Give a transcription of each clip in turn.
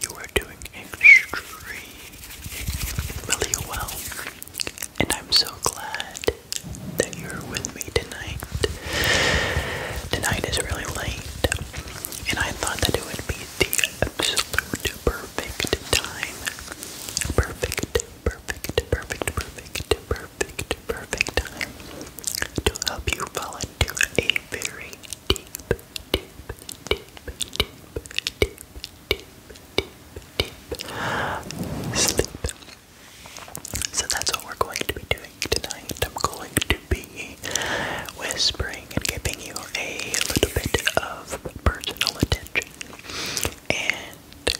you are doing extremely well, and I'm so glad that you're with me tonight. Tonight is really late, and I thought that it would be the absolute perfect time. Perfect, perfect, perfect, perfect, perfect, perfect time to help you fall into a very sleep. So that's what we're going to be doing tonight. I'm going to be whispering and giving you a little bit of personal attention and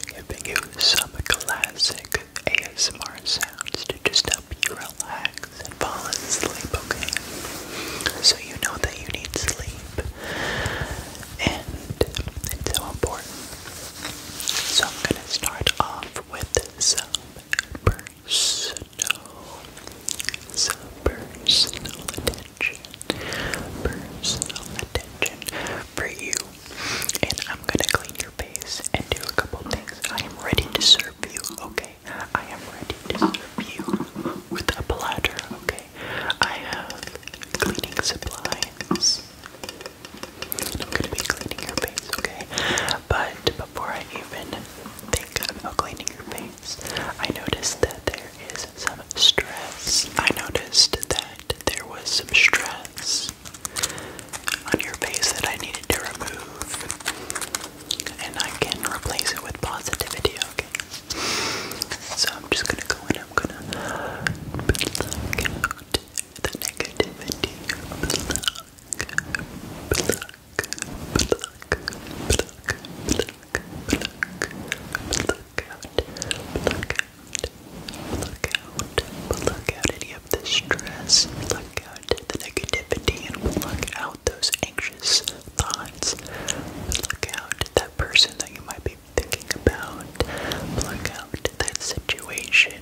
giving you some classic ASMR sounds to just help you relax and fall asleep, okay? So you know that you need sleep. And it's so important. So I'm going to start off with some personal, some personal attention, personal attention for you. And I'm going to clean your face and do a couple things. I am ready to serve you, okay? I am ready to serve you with a platter, okay? I have cleaning supplies. I'm gonna be cleaning your face, okay? But before I even think about cleaning your face, I noticed that there is some stress. I noticed that there was some stress on your face that I needed to remove and I can replace it with positivity, okay? So I'm just gonna go in. I'm gonna put out the negativity. Block, block, block, block, block. Pluck, pluck, pluck out, pluck out, pluck out, pluck out any of the stress, pluck out the negativity, and pluck out those anxious thoughts. Look out at that person that you might be thinking about. Look out at that situation.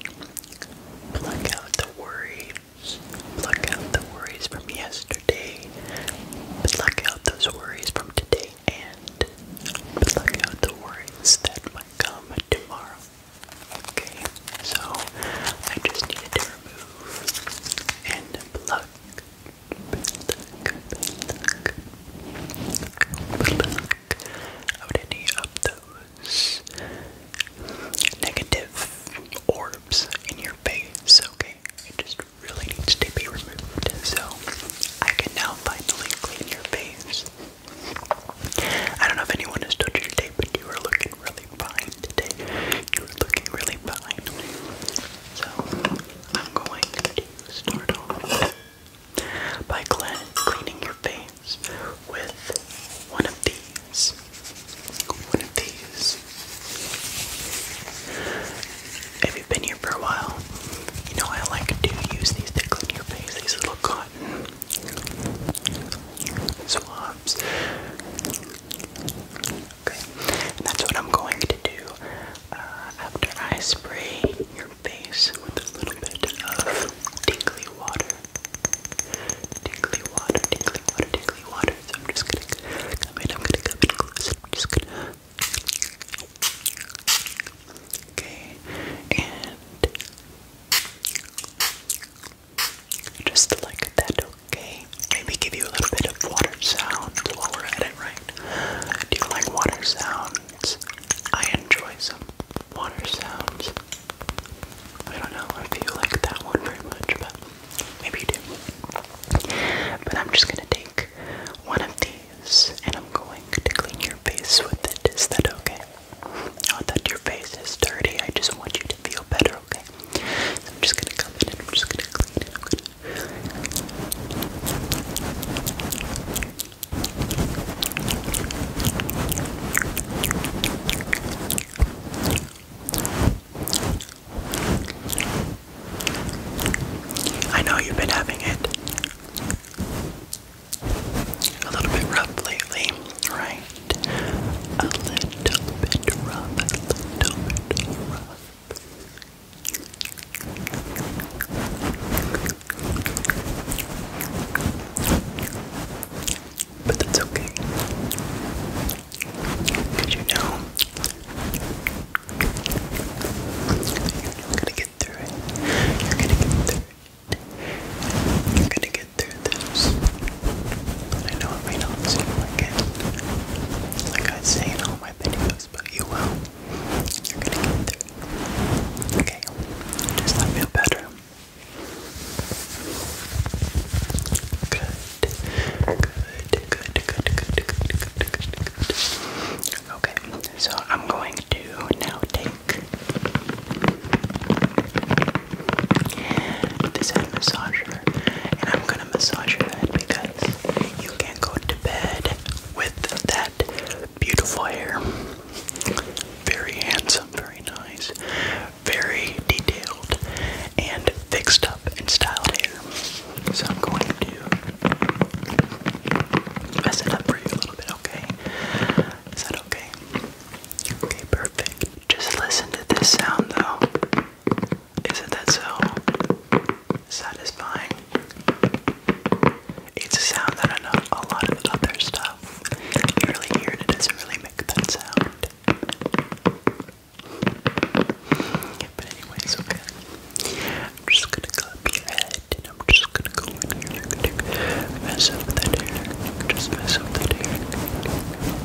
Look out the worries. Look out the worries from yesterday. Look out those worries from today and look out the worries that might come tomorrow. Okay, so I just needed to remove and pluck, out any of those negative orbs in your face, okay? It just really needs to be removed, so I can now finally clean your face. I don't know if anyone has touched your today, but you are looking really fine today. You are looking really fine. So I'm going to start off by cleaning your face with one of these. One of these. If you've been here for a while, you know I like to use these to clean your face, these little cotton swabs. Okay, that's what I'm going to do uh, after I spray your face with a little bit of tingly water. Tingly water, tingly water, tingly water. So I'm just gonna I'm gonna come in close. i just gonna. Okay, and just like that, Okay, maybe give you a little bit of water sounds while we're at it, right? Do you like water sounds? I enjoy some water sounds. I don't know I feel like that one very much, but maybe you do. But I'm just gonna take one of these and I'm going to clean your face with it. Is that okay? Not that your face is dirty, I just want you to feel better okay? I'm just gonna come in and I'm just gonna clean it. I'm gonna... I know you've been having it a little bit rough lately, right? A little bit rough, a little bit rough. But that's okay. you know you're gonna get through it? You're gonna get through it. You're gonna get through this. But I know not, may not seem like it. Like I say in all my videos, but you will. You're gonna get through. Okay, does that feel better? Good. Good, good, good, good, good, good, good, Okay, so I'm going to now take this head massager shoulder, and I'm gonna massage your head because you can't go to bed with that beautiful hair. Very handsome, very nice, very detailed, and fixed up and styled hair. So I'm going to mess it up for you a little bit, okay? Is that okay? Okay, perfect. Just listen to this sound though. Isn't that so satisfying? It's a sound that I know a lot of other stuff. You really hear it, it doesn't really make that sound. But anyways, okay. I'm just gonna clip your head and I'm just gonna go in here and mess up that hair. Just mess up that hair.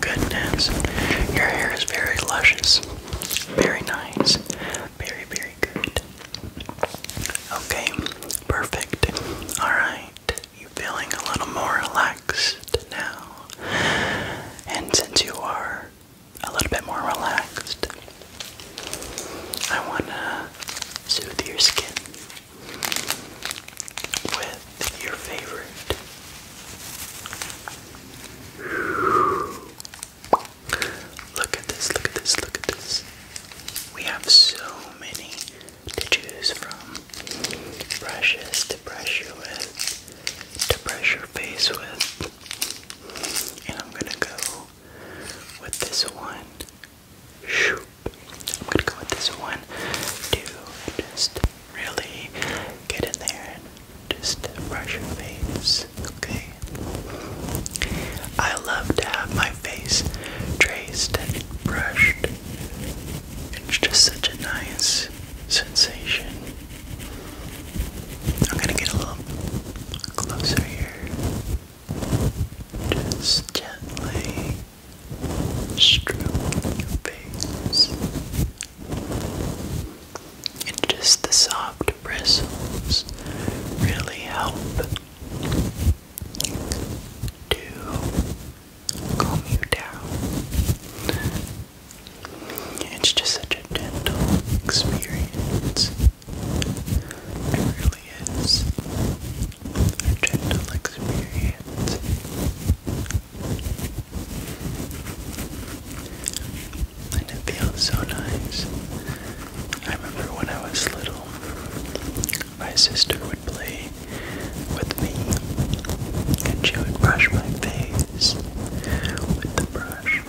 Goodness, your hair is very luscious, very nice, very, very good. Okay, perfect. Alright, you feeling a little more relaxed now? And since you are a little bit more relaxed, I want to soothe your skin with your favorite Look at this, look at this, look at this. We have so many to choose from. Brushes to brush you with, to brush your face with. And I'm gonna go with this one Shoop. I'm gonna go with this one to just really get in there and just brush your face, okay? I love to have my face traced and brushed. It's just such a nice sensation. I'm gonna get a little closer here. Just gently stroke your face. And just the soft bristles really help to calm you down. It's just such a gentle experience. It really is a gentle experience. And it feels so nice. I remember when I was little, my sister would play with me and she would brush my face with the brush.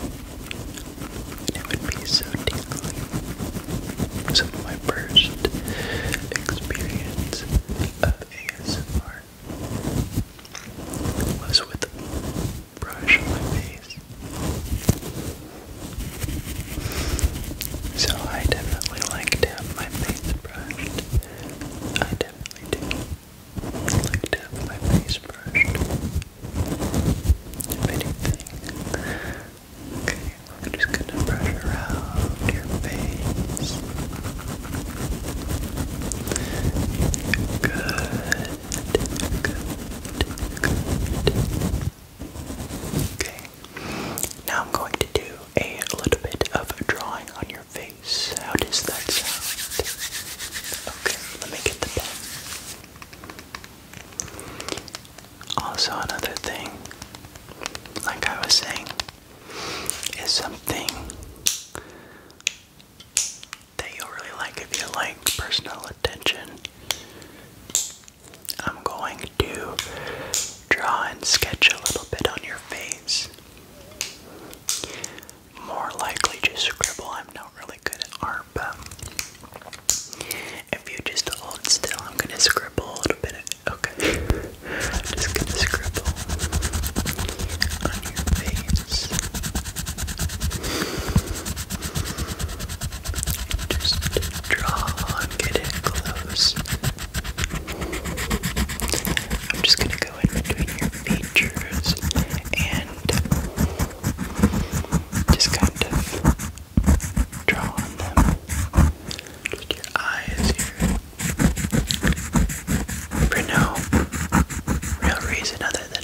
It would be so tingly. Some of my first experience of ASMR was with a brush on my face. So I definitely like to have my face brushed. I definitely do. like to have my face brushed. anything, Okay, I'm just gonna brush around your face. Good, good, good. Okay, now I'm going to do a little bit of drawing on your face. How does that sound? Okay, let me get the pen. Also, another thing, like I was saying, is something that you'll really like if you like personal attention. I'm going to draw and sketch a little bit on your face. More likely just scribble. I'm not really good at art, but if you just hold still, I'm gonna scribble a little bit. Okay, I'm just gonna scribble on your face. Just draw and get it close. I'm just gonna go in between your features and just kind of draw on them. Just your eyes here. For no real reason other than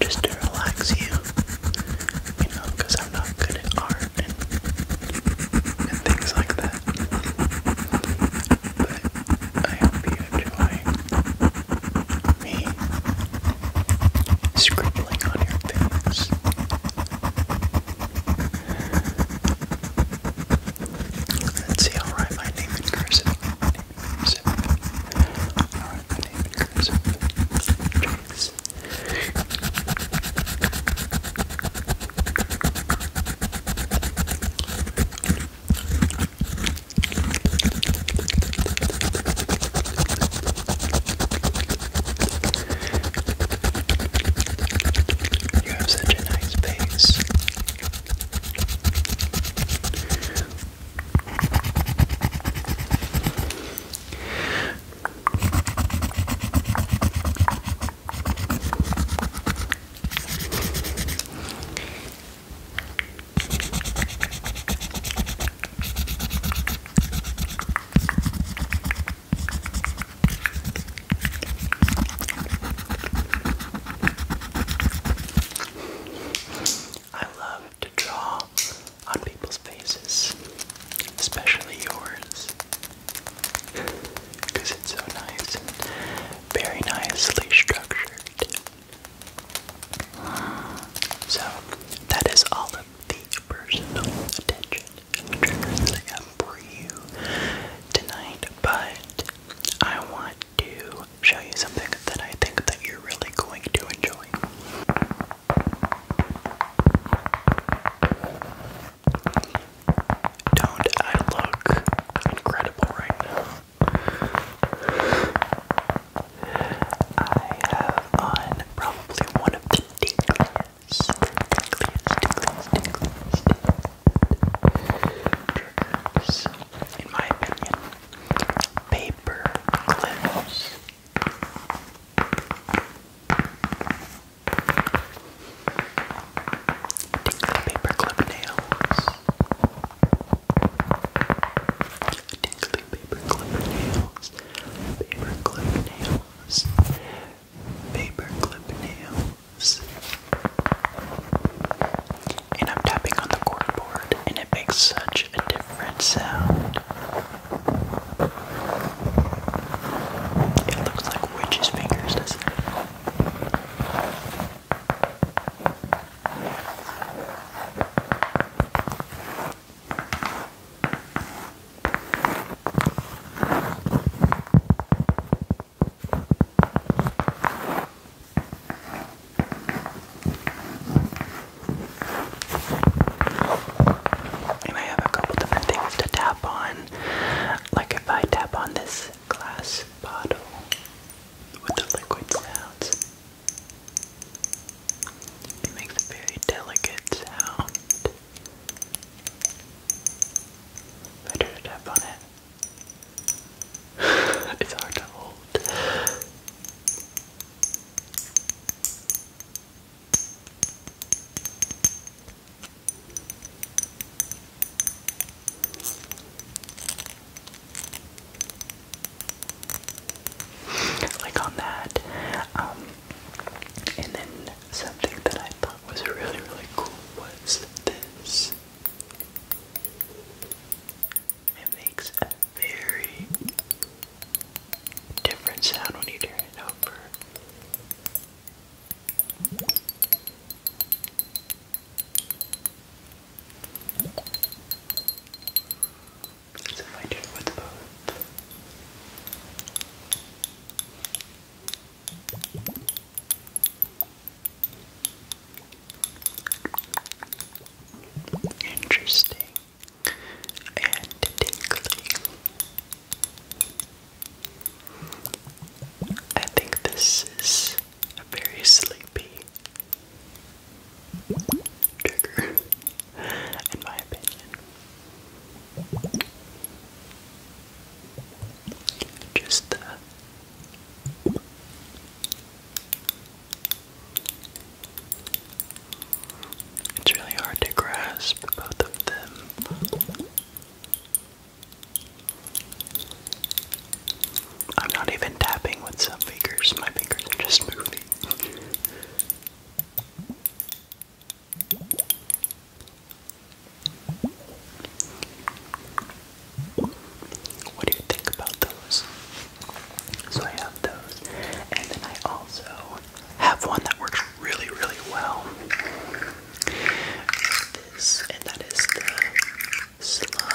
just to relax you. You know, I'm not good at art and things like that. But I hope you enjoy me scribbling on your fingers. Let's see, I'll write my name in cursive. My name in cursive. I'll you have such a nice face. I love to draw on people's faces, especially yours, because it's so nice very nicely structured. So, that is all the personal attention I have for you tonight, but I want to show you something that I think that you're really going to enjoy. Don't I look incredible right now? I have on probably one of the tickliest, tickliest, tickliest, tickliest triggers, in my opinion. Paper clips. Tickly paper clip nails. Tickly paper clip nails paperclip nails, paperclip nails. And I'm tapping on the corkboard, and it makes such a different sound. It looks like witches' fingers, and I have a couple different things to tap on. Like if I tap on this glass bottle with the liquid sounds. It makes a very delicate sound. Better to tap on it. it's hard to hold. Like on that. Um, and then something that I thought was really, really cool was this. It makes a very different sound when you turn it over. So Interesting and I think this is a very sleepy trigger, in my opinion. Just uh, it's really hard to grasp both of them. I'm not even tapping with some fingers, my fingers are just moving. What do you think about those? So I have those, and then I also have one that works really, really well. and that is the slug.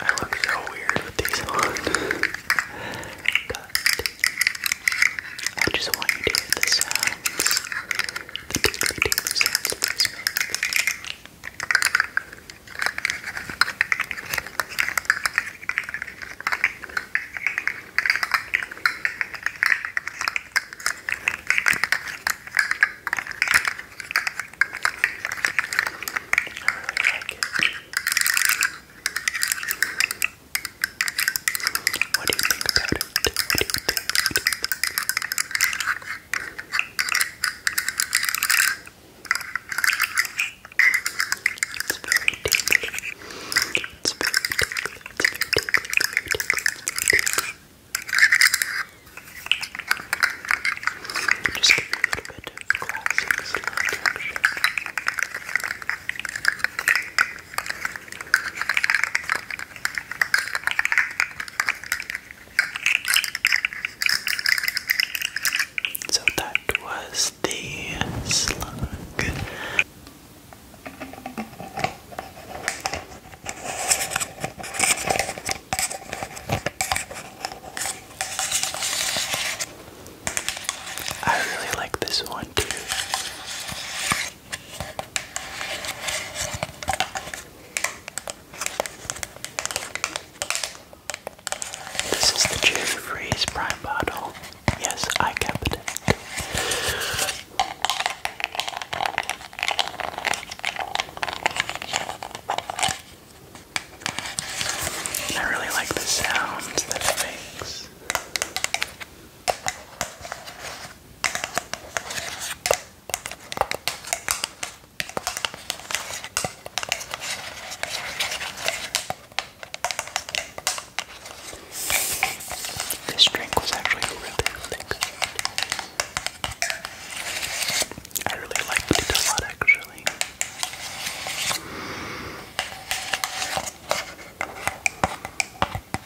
I look so weird with these on. But I just want you to hear the sounds the doodly doodly sounds that those make. I really like it. What do you think about it? What do you think? What do you think? It's very tingly. It's very tingly. It's very tingly. It's very tingly. Just give you a little bit of classic slow motion. So that was the slug. I really like this one too. This the Cherry Prime Bottle. Yes, I kept it. I really like the sounds that makes. This drink was actually really thick. I really liked it a lot actually. Brian,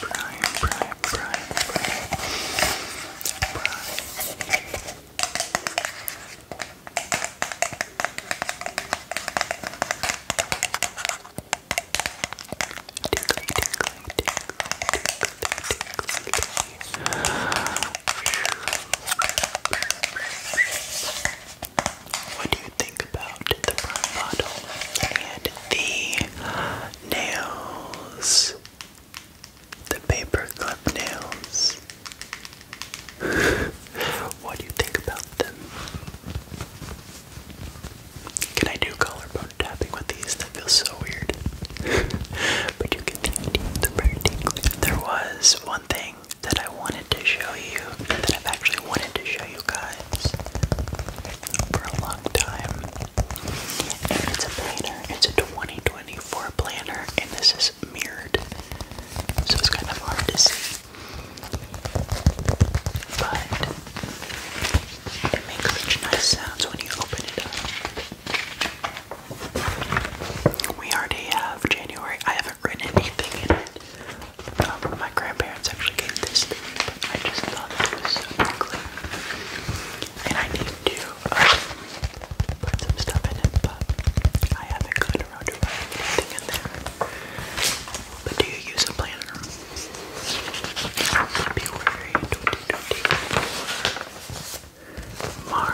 Brian, Brian, Brian, Brian. What do you think about the bottle and the nails? The paper nails what do you think about them? Can I do collarbone tapping with these? That feels so weird. but you get the idea. they There was one thing that I wanted to show you, that I've actually wanted to show you guys for a long time. And it's a planner. It's a 2024 planner, and this is mirrored, so it's kind of hard to see. But it makes such nice sounds when you open it up. We already have January. I haven't written anything in it. Um, my grandparents actually gave this to me, but I just thought it was so ugly. And I need to uh, put some stuff in it, but I haven't good I But do you use a planner? February 2024.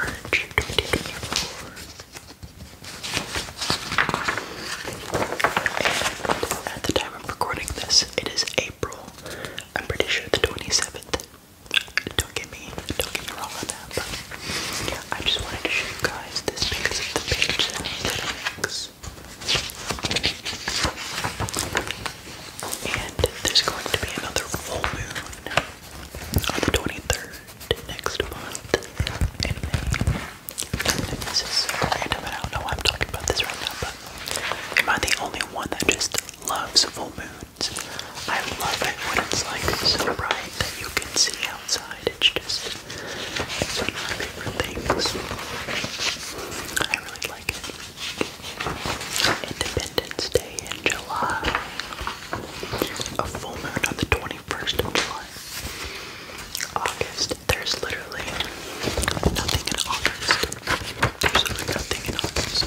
at the time I'm recording this, it is April. I'm pretty sure the 27th. Don't get me, do wrong on that, I just wanted to show you guys this because of the page that it makes. And there's going to be another full moon on the 23rd next month And this is random, I don't know why I'm talking about this right now, but am I the only one that just loves full moons? I love it when it's like so bright that you can see outside. It's just one of my favorite things. I really like it. Independence Day in July. A full moon on the 21st of July. August. There's literally nothing in August. There's literally nothing in August.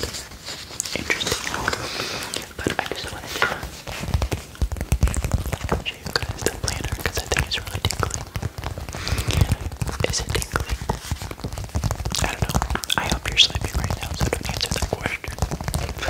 Interesting. But I just wanted to I'll show you guys the planner because I think it's really tingling. Is it tingling? I don't know. I hope you're sleeping right now, so don't answer that question. But,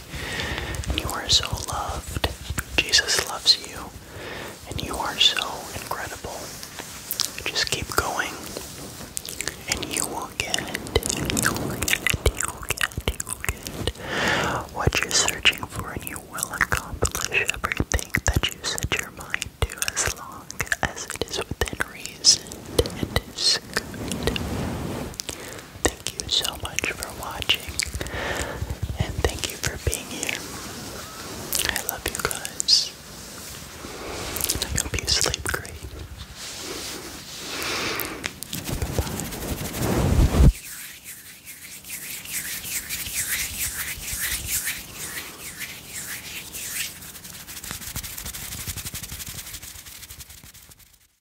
And you are so loved. Jesus loves you. And you are so incredible. Just keep going. And you will get you get you get you get what you're searching for and you will accomplish everything that you set your mind to as long as it is within reason and is Thank you so much for watching, and thank you for being here. I love you guys. I hope you sleep great. bye